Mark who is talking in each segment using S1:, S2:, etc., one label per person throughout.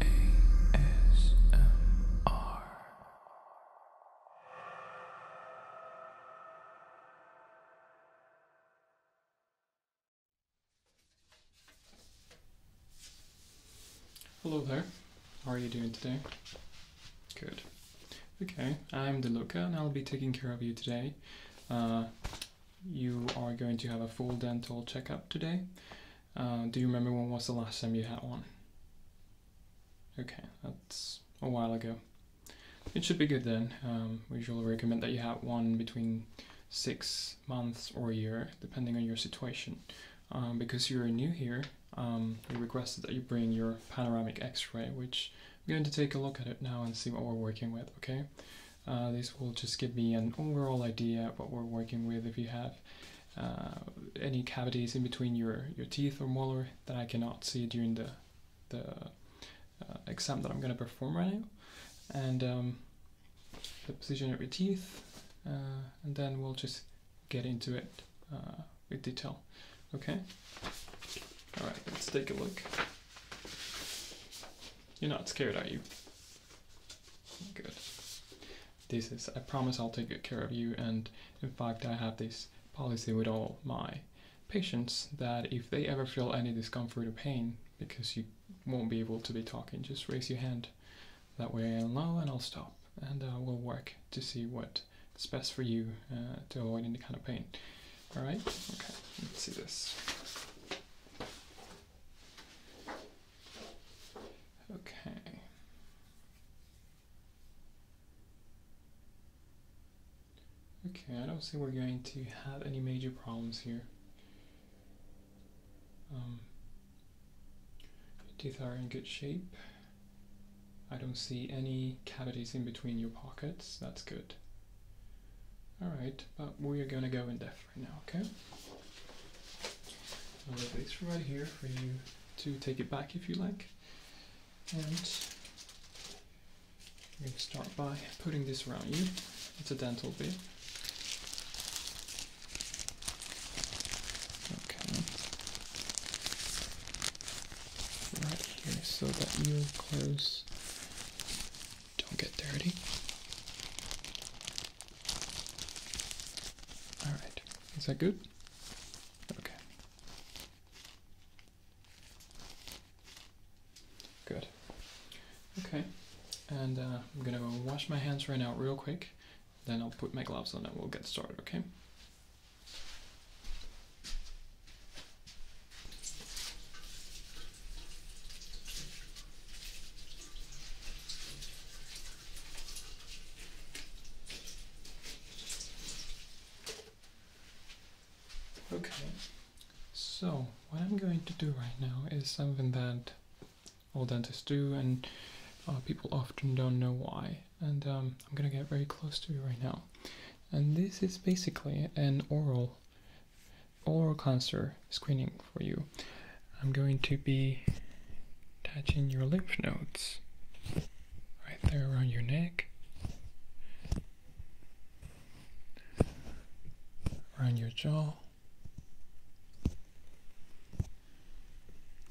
S1: ASMR. Hello there. How are you doing today? Good. Okay, I'm DeLuca and I'll be taking care of you today. Uh, you are going to have a full dental checkup today. Uh, do you remember when was the last time you had one? Okay, that's a while ago. It should be good then. Um, we usually recommend that you have one between six months or a year, depending on your situation. Um, because you're new here, um, we requested that you bring your panoramic x-ray, which I'm going to take a look at it now and see what we're working with, okay? Uh, this will just give me an overall idea what we're working with if you have uh, any cavities in between your, your teeth or molar that I cannot see during the, the uh, exam that I'm going to perform right now. And um, the position of your teeth, and then we'll just get into it with detail. Okay? Alright, let's take a look. You're not scared, are you? Good. This is, I promise I'll take good care of you and in fact I have this policy with all my patients that if they ever feel any discomfort or pain because you won't be able to be talking, just raise your hand. That way I'll know and I'll stop and uh, we'll work to see what is best for you uh, to avoid any kind of pain. Alright? Okay, let's see this. Okay. Okay, I don't see we're going to have any major problems here. Um, teeth are in good shape. I don't see any cavities in between your pockets, that's good. Alright, but we are going to go in depth right now, okay? I'll this right here for you to take it back if you like. And we're start by putting this around you. It's a dental bit. Okay. Right here, so that you close don't get dirty. Alright, is that good? Okay. Good. Okay, and uh, I'm gonna wash my hands right now, real quick. Then I'll put my gloves on and we'll get started, okay? Okay, so what I'm going to do right now is something that all dentists do and uh, people often don't know why. And um, I'm gonna get very close to you right now. And this is basically an oral oral cancer screening for you. I'm going to be touching your lymph nodes right there around your neck, around your jaw.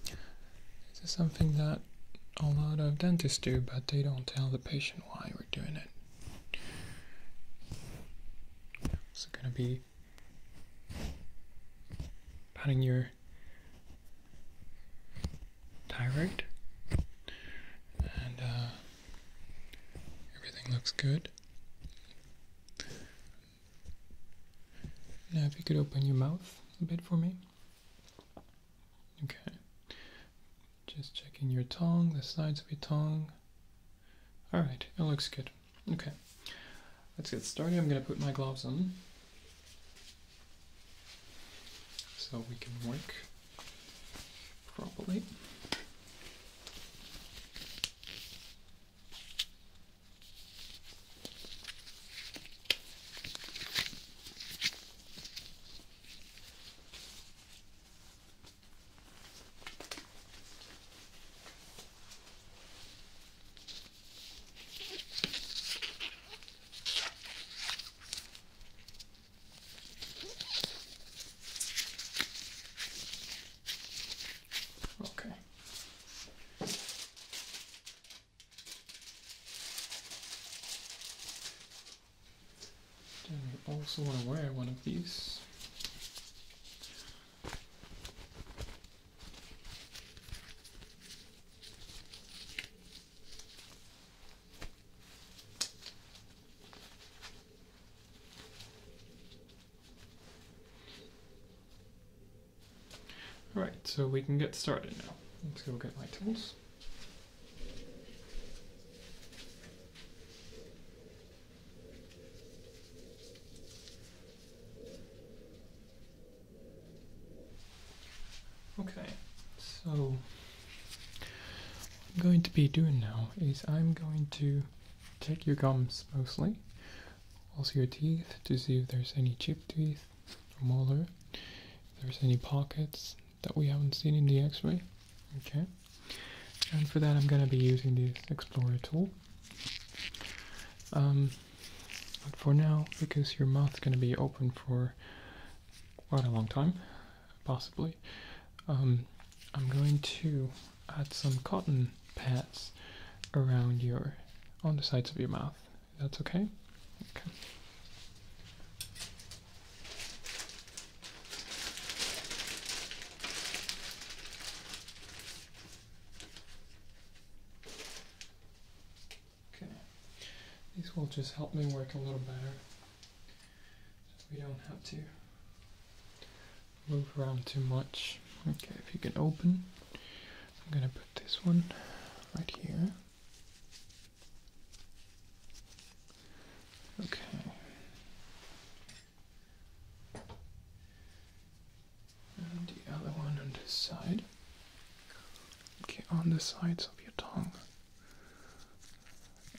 S1: This is something that a lot of dentists do, but they don't tell the patient why we're doing it. So, gonna be be patting your thyroid, and uh, everything looks good. Now, if you could open your mouth a bit for me. Okay. Just checking your tongue, the sides of your tongue. Alright, it looks good. Okay, let's get started. I'm going to put my gloves on so we can work properly. Okay. Then we also want to wear one of these. All right, so we can get started now. Let's go get my tools. Okay, so what I'm going to be doing now is I'm going to check your gums mostly, also your teeth to see if there's any chipped teeth or molar, if there's any pockets that we haven't seen in the x-ray. Okay and for that I'm going to be using the explorer tool um, but for now because your mouth's going to be open for quite a long time possibly um, I'm going to add some cotton pads around your on the sides of your mouth that's okay Okay, these will just help me work a little better so we don't have to move around too much. Okay, if you can open, I'm gonna put this one right here. Okay. And the other one on this side. Okay, on the sides of your tongue.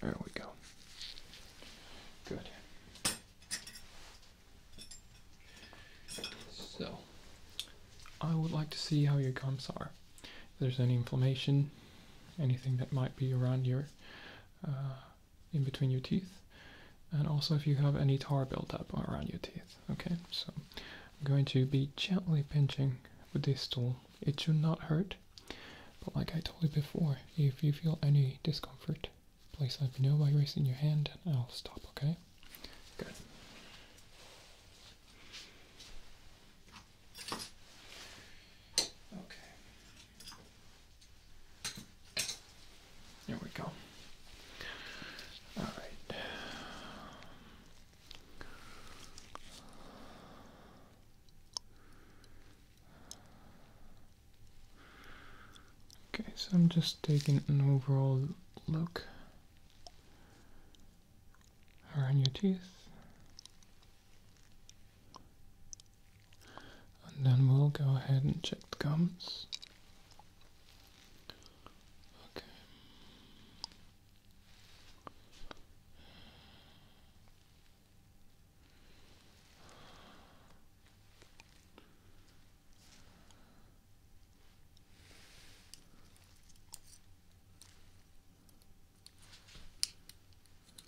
S1: There we go. Good. So, I would like to see how your gums are. If there's any inflammation, anything that might be around your uh, in between your teeth, and also if you have any tar built up around your teeth. Okay, so I'm going to be gently pinching with this tool. It should not hurt, but like I told you before, if you feel any discomfort, please let me know by raising your hand and I'll stop, okay? Good. Okay. There we go. All right. Okay, so I'm just taking an overall look around your teeth and then we'll go ahead and check the gums. Okay.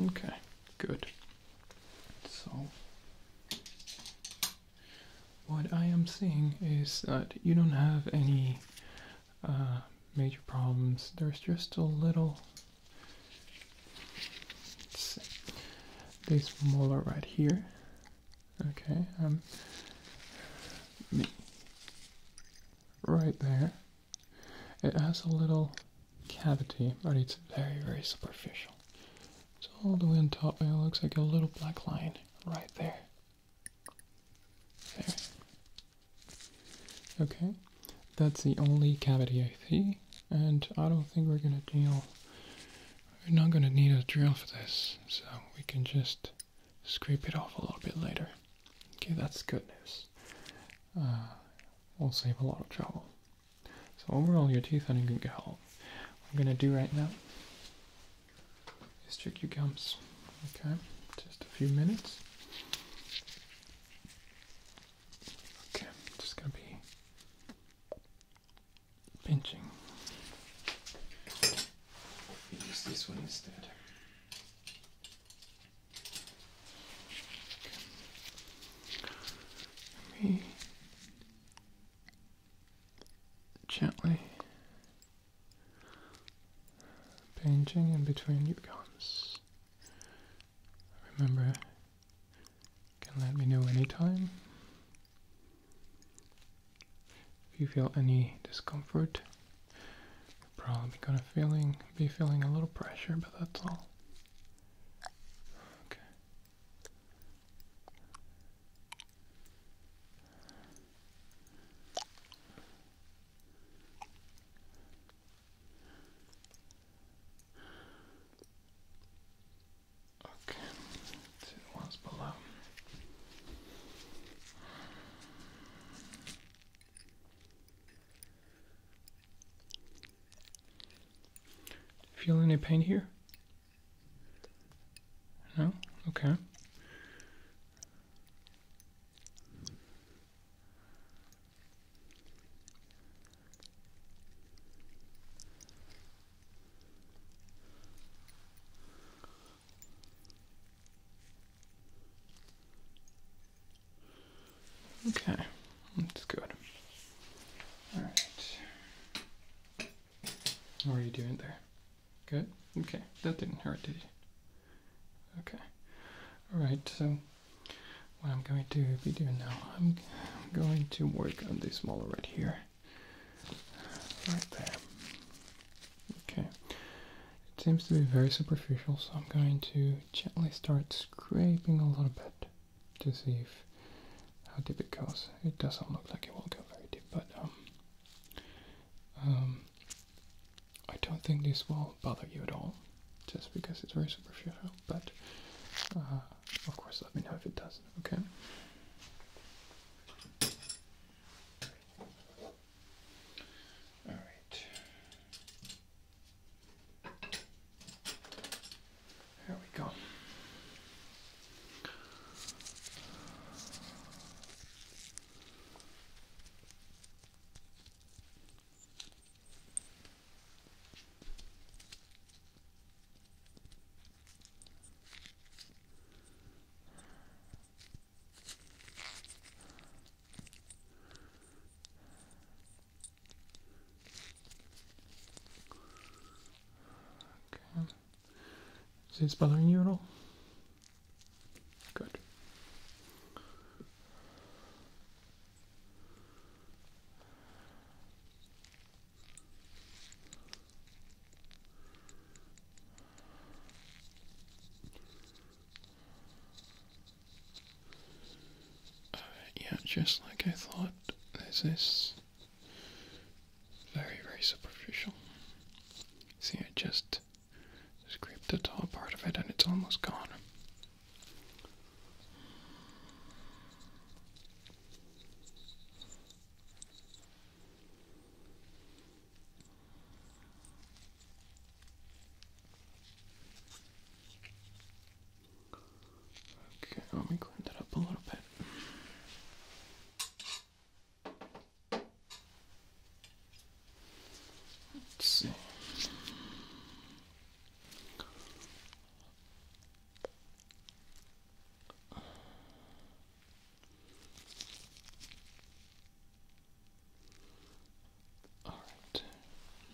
S1: Okay, good. So, what I am seeing is that you don't have any uh, major problems. There's just a little this molar right here. Okay, um, right there. It has a little cavity, but it's very, very superficial. It's all the way on top, and it looks like a little black line right there. There. Okay, that's the only cavity I see, and I don't think we're gonna deal we're not going to need a drill for this, so we can just scrape it off a little bit later. Okay, that's good news. Uh, we'll save a lot of trouble. So overall, your teeth are in good health. What I'm going to do right now is check your gums. Okay, just a few minutes. Okay, just going to be pinching. Use this one instead. me gently pinching in between your gums. Remember, can let me know anytime if you feel any discomfort, you're probably gonna feeling be feeling a little pressure, but that's all. Okay. Okay, see the ones below. Feel any pain here? No? Okay. Okay, that's good. All right. How are you doing there? Good? Okay, that didn't hurt, did it? Okay. All right, so what I'm going to be doing now, I'm, going to work on this mole right here. Right there. Okay. It seems to be very superficial, so I'm going to gently start scraping a little bit to see if how deep it goes. It doesn't look like it will go very deep, but um, um I don't think this will bother you at all, just because it's very superficial. But uh, of course, let me know if it does. Okay. All right. There we go. Is this bothering you at all? Good. Uh, yeah, just like I thought, there's this very, very superficial. See, I just scraped the top part of it and it's almost gone. Okay, let me clean that up a little bit. Let's see. All right,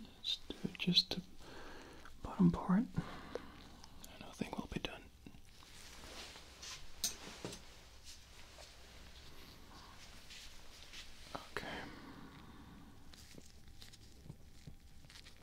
S1: let's do just the bottom part, and will be done. Okay.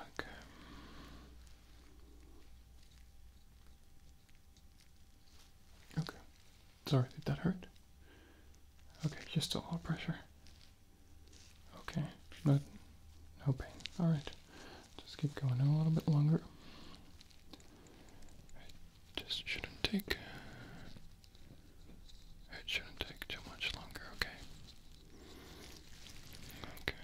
S1: Okay. Okay. Sorry, did that hurt? Okay, just a little pressure. Okay, no, no pain. All right, just keep going a little bit longer. It just shouldn't take. It shouldn't take too much longer. Okay. Okay.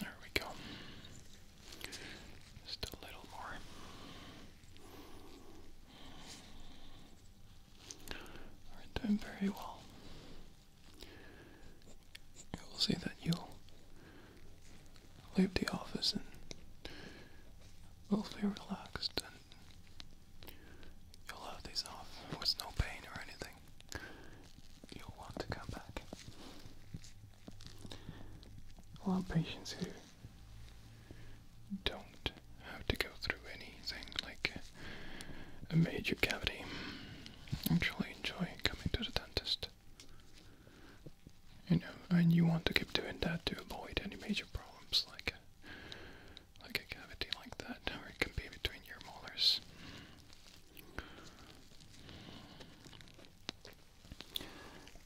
S1: There we go. Just a little more. We're doing very well. I will see that you'll leave the office and will be relaxed and you'll have these off with no pain or anything. You'll want to come back. A patients who don't have to go through anything like a major cavity actually enjoy coming to the dentist. You know, and you want to keep doing that to avoid any major problems like like a cavity like that, or it can be between your molars.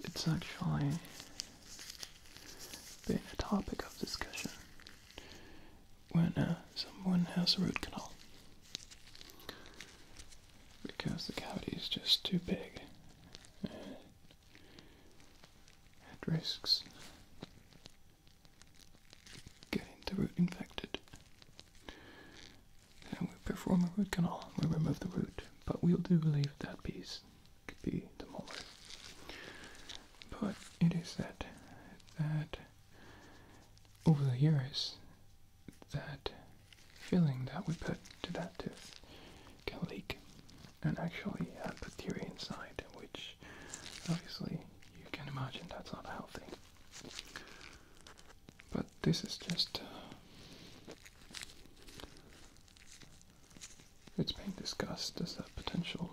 S1: It's actually been a topic of discussion when uh, someone has a root canal because the cavity is just too big and it risks getting the root infected. And we perform a root canal, we remove the root, but we'll do leave that piece, it could be the molar. But it is said that over the years that filling that we put to that tooth can leak and actually have uh, bacteria inside, which obviously you can imagine that's not healthy. But this is just. Uh, it's being discussed as a potential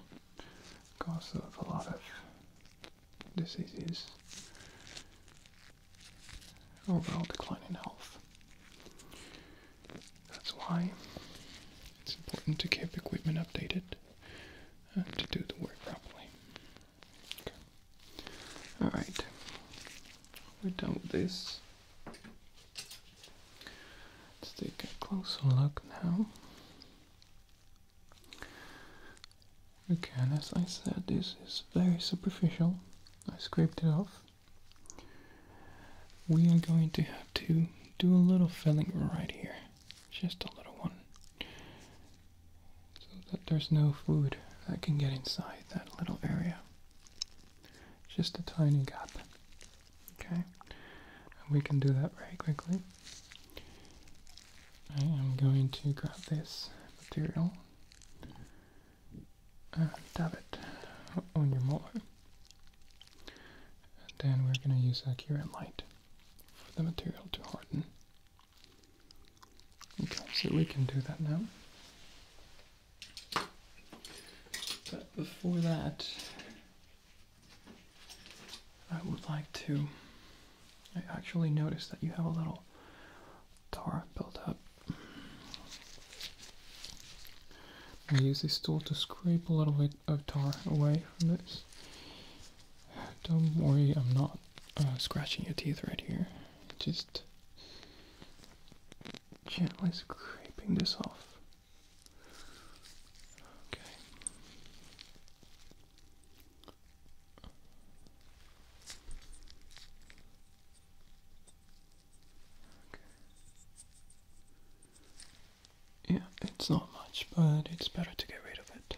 S1: cause of a lot of this is his overall decline in health. That's why it's important to keep equipment updated and to do the work properly. Alright, we're done with this. Let's take a closer look now Okay, as I said, this is very superficial. I scraped it off. We are going to have to do a little filling right here. Just a little one. So that there's no food that can get inside that little area. Just a tiny gap. Okay? we can do that very quickly. I am going to grab this material and dab it on your molar. And then we're going to use a current light for the material to harden. Okay, so we can do that now. But before that, I would like to I actually noticed that you have a little tar built up. I use this tool to scrape a little bit of tar away from this. Don't worry, I'm not uh, scratching your teeth right here. Just gently scraping this off. Okay. Yeah, it's not much, but it's better to get rid of it.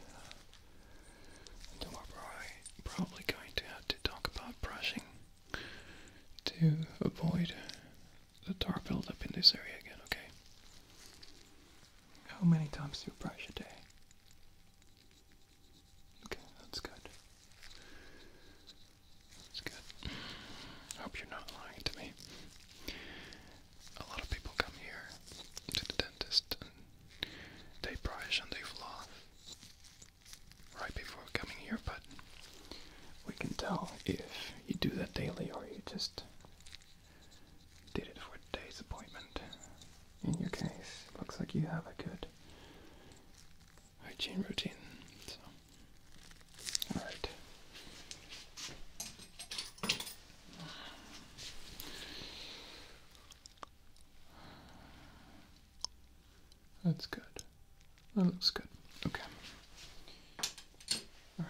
S1: And then we probably, probably going to have to talk about brushing to avoid the tar buildup in this area again, okay? How many times do you brush a day? Okay, that's good. That's good. hope you're not lying to me. A lot of people come here to the dentist and they brush and they floss right before coming here, but we can tell if you do that daily or you just did it for a day's appointment in your case, looks like you have a good hygiene routine. So, all right. That's good. That looks good. Okay. Alright,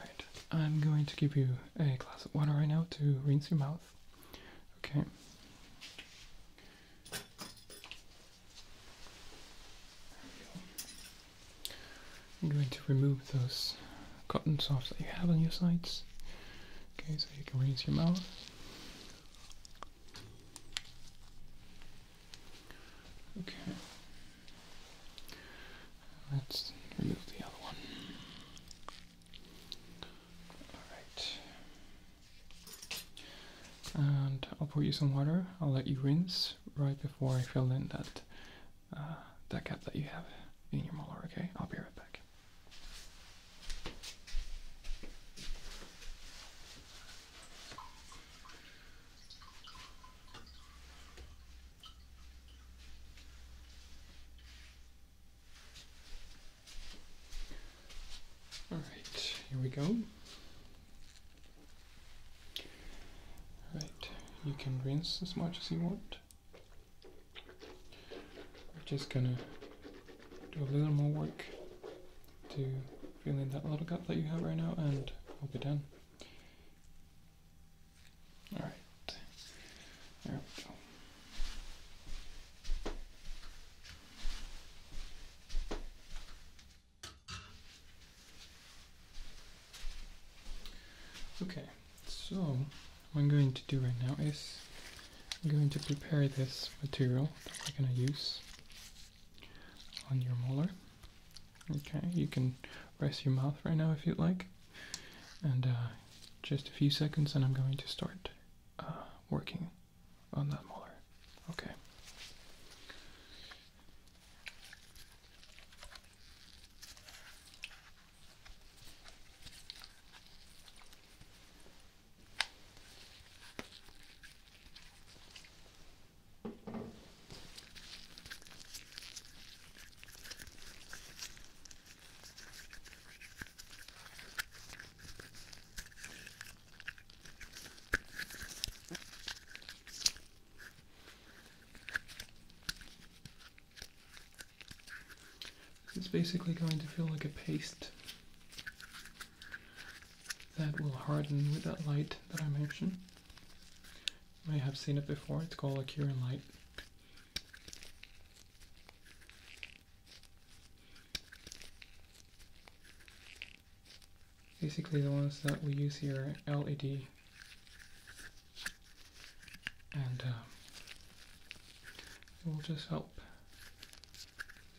S1: I'm going to give you a glass of water right now to rinse your mouth Okay. I'm going to remove those cotton softs that you have on your sides. Okay, so you can raise your mouth. Okay. Let's remove the other one. Alright. And I'll pour you some water. I'll let you rinse right before I fill in that uh, that gap that you have in your molar, okay? I'll be right back. All right, here we go. All right, you can rinse as much as you want. We're just gonna do a little more work to fill in that little gap that you have right now, and we'll be done. All right, there we go. Okay, so what I'm going to do right now is I'm going to prepare this material that we're going to use on your molar. Okay, you can rest your mouth right now if you'd like. And uh, just a few seconds and I'm going to start uh, working on that molar. Okay. It's basically going to feel like a paste that will harden with that light that I mentioned. You may have seen it before, it's called a curing light. Basically the ones that we use here LED and uh, will just help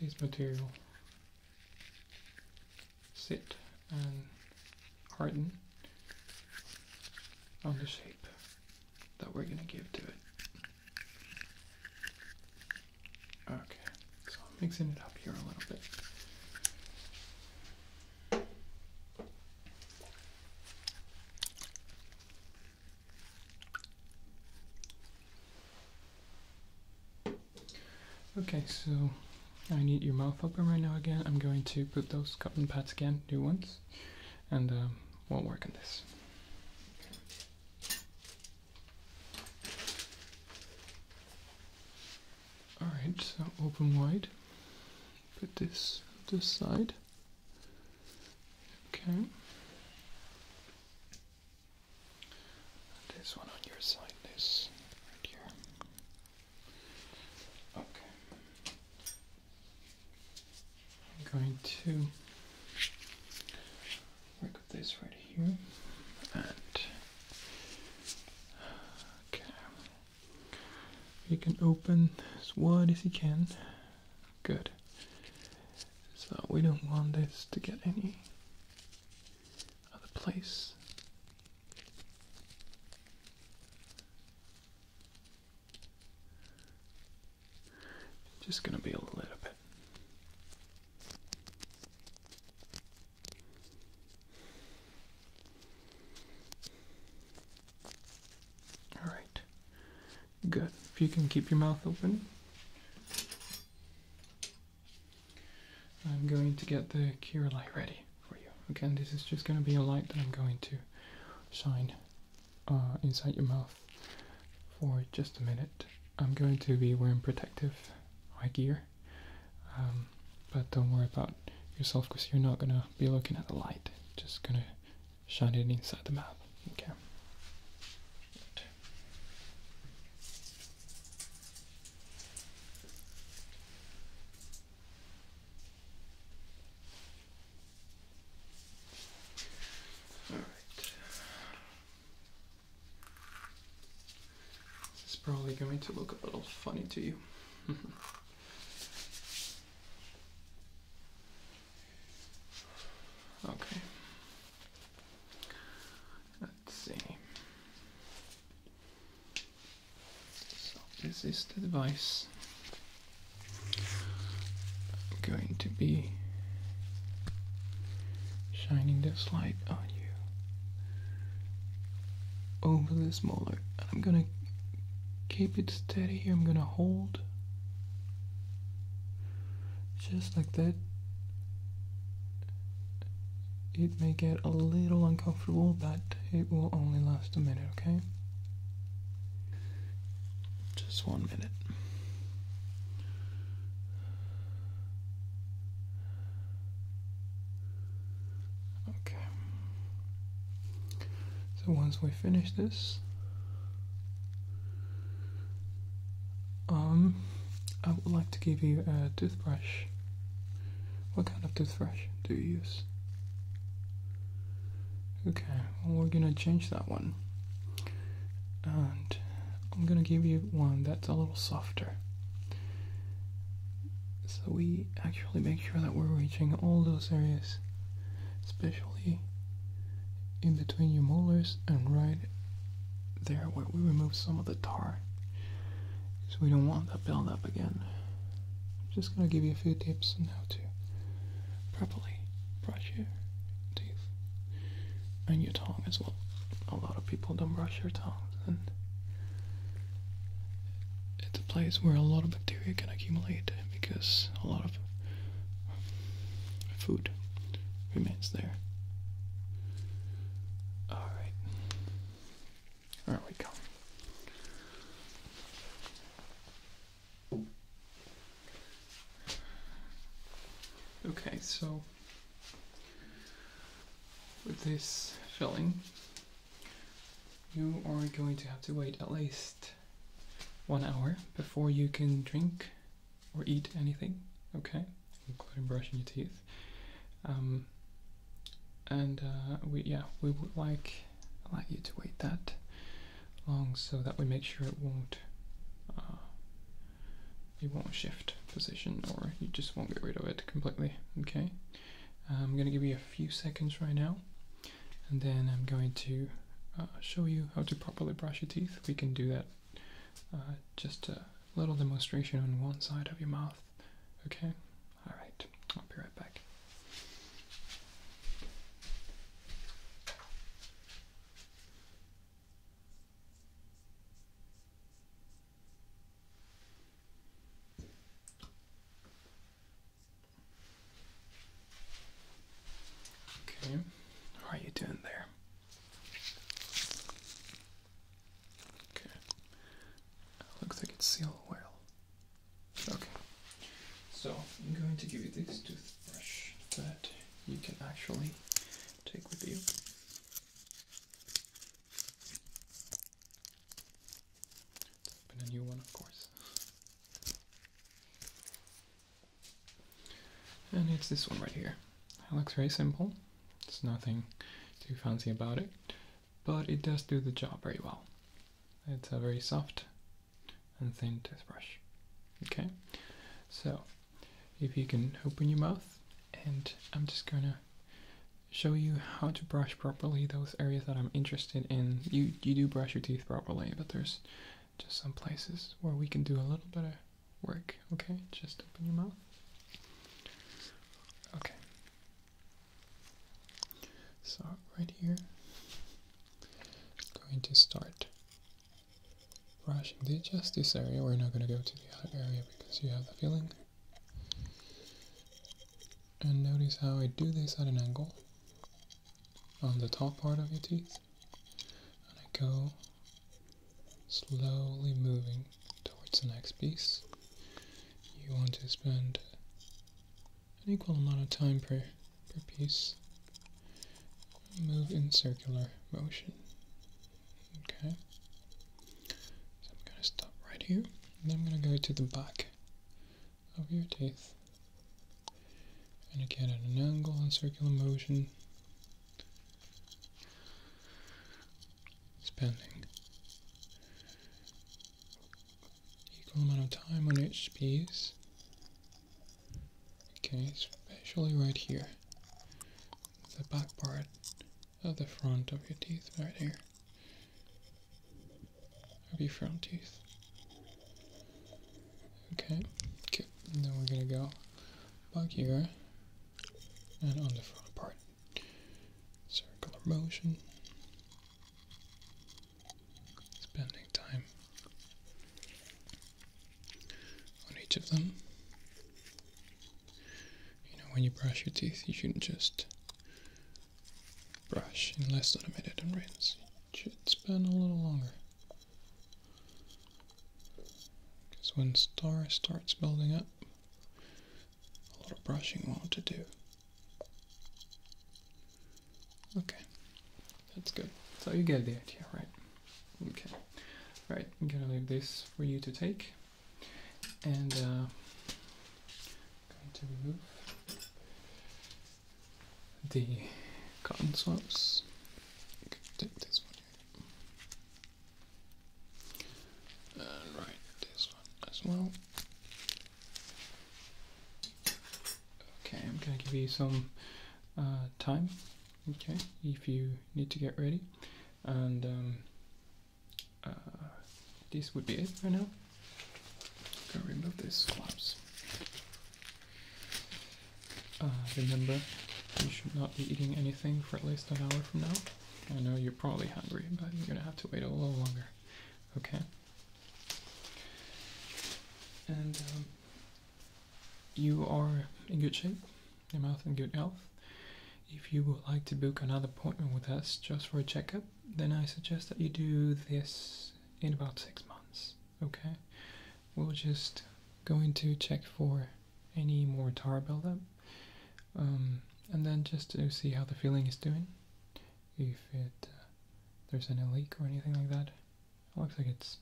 S1: these material sit and harden on the shape that we're going to give to it. Okay, so I'm mixing it up here a little bit. Okay, so I need your mouth open right now again. I'm going to put those cotton pads again, new ones, and um, we'll work on this. Alright, so open wide. Put this this side. Okay. This one on your side, this right here. Okay. I'm going to work with this right here and okay. You can open as wide as you can. Good. So we don't want this to get any other place. Just going to be a little bit. All right. Good. If you can keep your mouth open. I'm going to get the cure light ready for you. Again, this is just going to be a light that I'm going to shine uh, inside your mouth for just a minute. I'm going to be wearing protective eye gear, um, but don't worry about yourself because you're not gonna be looking at the light. Just gonna shine it inside the mouth. Okay. This is probably going to look a little funny to you. okay. Let's see. So this is the device I'm going to be shining this light on you over this molar. I'm gonna keep it steady here. I'm gonna hold just like that. It may get a little uncomfortable, but it will only last a minute, okay? Just one minute. Okay. So once we finish this, um, I would like to give you a toothbrush. What kind of toothbrush do you use? Okay we're gonna change that one. And I'm gonna give you one that's a little softer. So we actually make sure that we're reaching all those areas, especially in between your molars and right there where we remove some of the tar. So we don't want that buildup again. I'm just gonna give you a few tips on how to properly brush your teeth and your tongue as well. A lot of people don't brush their tongues, and it's a place where a lot of bacteria can accumulate because a lot of food remains there. Alright. There we go. Okay, so with this filling, you are going to have to wait at least one hour before you can drink or eat anything, okay? Including brushing your teeth. Um, and uh, we, yeah, we would like allow you to wait that long so that we make sure it won't uh, won't shift position or you just won't get rid of it completely okay I'm gonna give you a few seconds right now and then I'm going to uh, show you how to properly brush your teeth we can do that uh, just a little demonstration on one side of your mouth okay all right I'll be right back Okay, how are you doing there? Okay, looks like it's sealed well. Okay, so I'm going to give you this toothbrush that you can actually take with you. let a new one, of course. And it's this one right here. It looks very simple. It's nothing too fancy about it, but it does do the job very well. It's a very soft and thin toothbrush. Okay, so if you can open your mouth, and I'm just gonna show you how to brush properly those areas that I'm interested in. You you do brush your teeth properly, but there's just some places where we can do a little bit of work. Okay, just open your mouth. Okay. So right here, going to start Brush the just this area. We're not going to go to the other area because you have the feeling. And notice how I do this at an angle on the top part of your teeth. And I go slowly moving towards the next piece. You want to spend an equal amount of time per per piece move in circular motion. Okay. So I'm going to stop right here, and I'm going to go to the back of your teeth. And again, at an angle in circular motion, spending equal amount of time on each piece. Okay, especially right here. The back part of the front of your teeth right here. Of your front teeth. Okay, Okay. And then we're gonna go back here and on the front part. Circular motion. Spending time on each of them. You know, when you brush your teeth, you shouldn't just brush in less than a minute and rinse. It should spend a little longer. Because when star starts building up, a lot of brushing won't do. Okay, that's good. So you get the idea, right? Okay. Right, I'm gonna leave this for you to take. And uh, I'm going to remove the cotton swabs. take this one. And right, this one as well. Okay, I'm gonna give you some uh, time okay if you need to get ready and um, uh, this would be it for now Go remove these flaps uh, remember you should not be eating anything for at least an hour from now I know you're probably hungry but you're gonna have to wait a little longer okay and um, you are in good shape, your mouth in good health. If you would like to book another appointment with us just for a checkup, then I suggest that you do this in about six months. Okay? We'll just going to check for any more tar buildup, um, and then just to see how the filling is doing, if it uh, there's any leak or anything like that. It looks like it's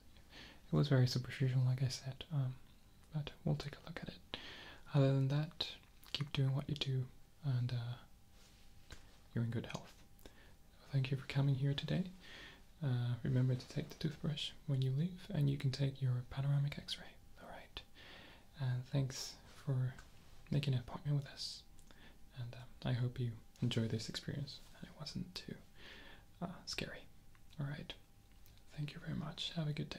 S1: it was very superficial, like I said. Um, but we'll take a look at it. Other than that, keep doing what you do, and uh, you're in good health. Thank you for coming here today. Uh, remember to take the toothbrush when you leave, and you can take your panoramic X-ray. All right. And thanks for making an appointment with us. And um, I hope you enjoy this experience. it wasn't too Ah, scary. All right. Thank you very much. Have a good day.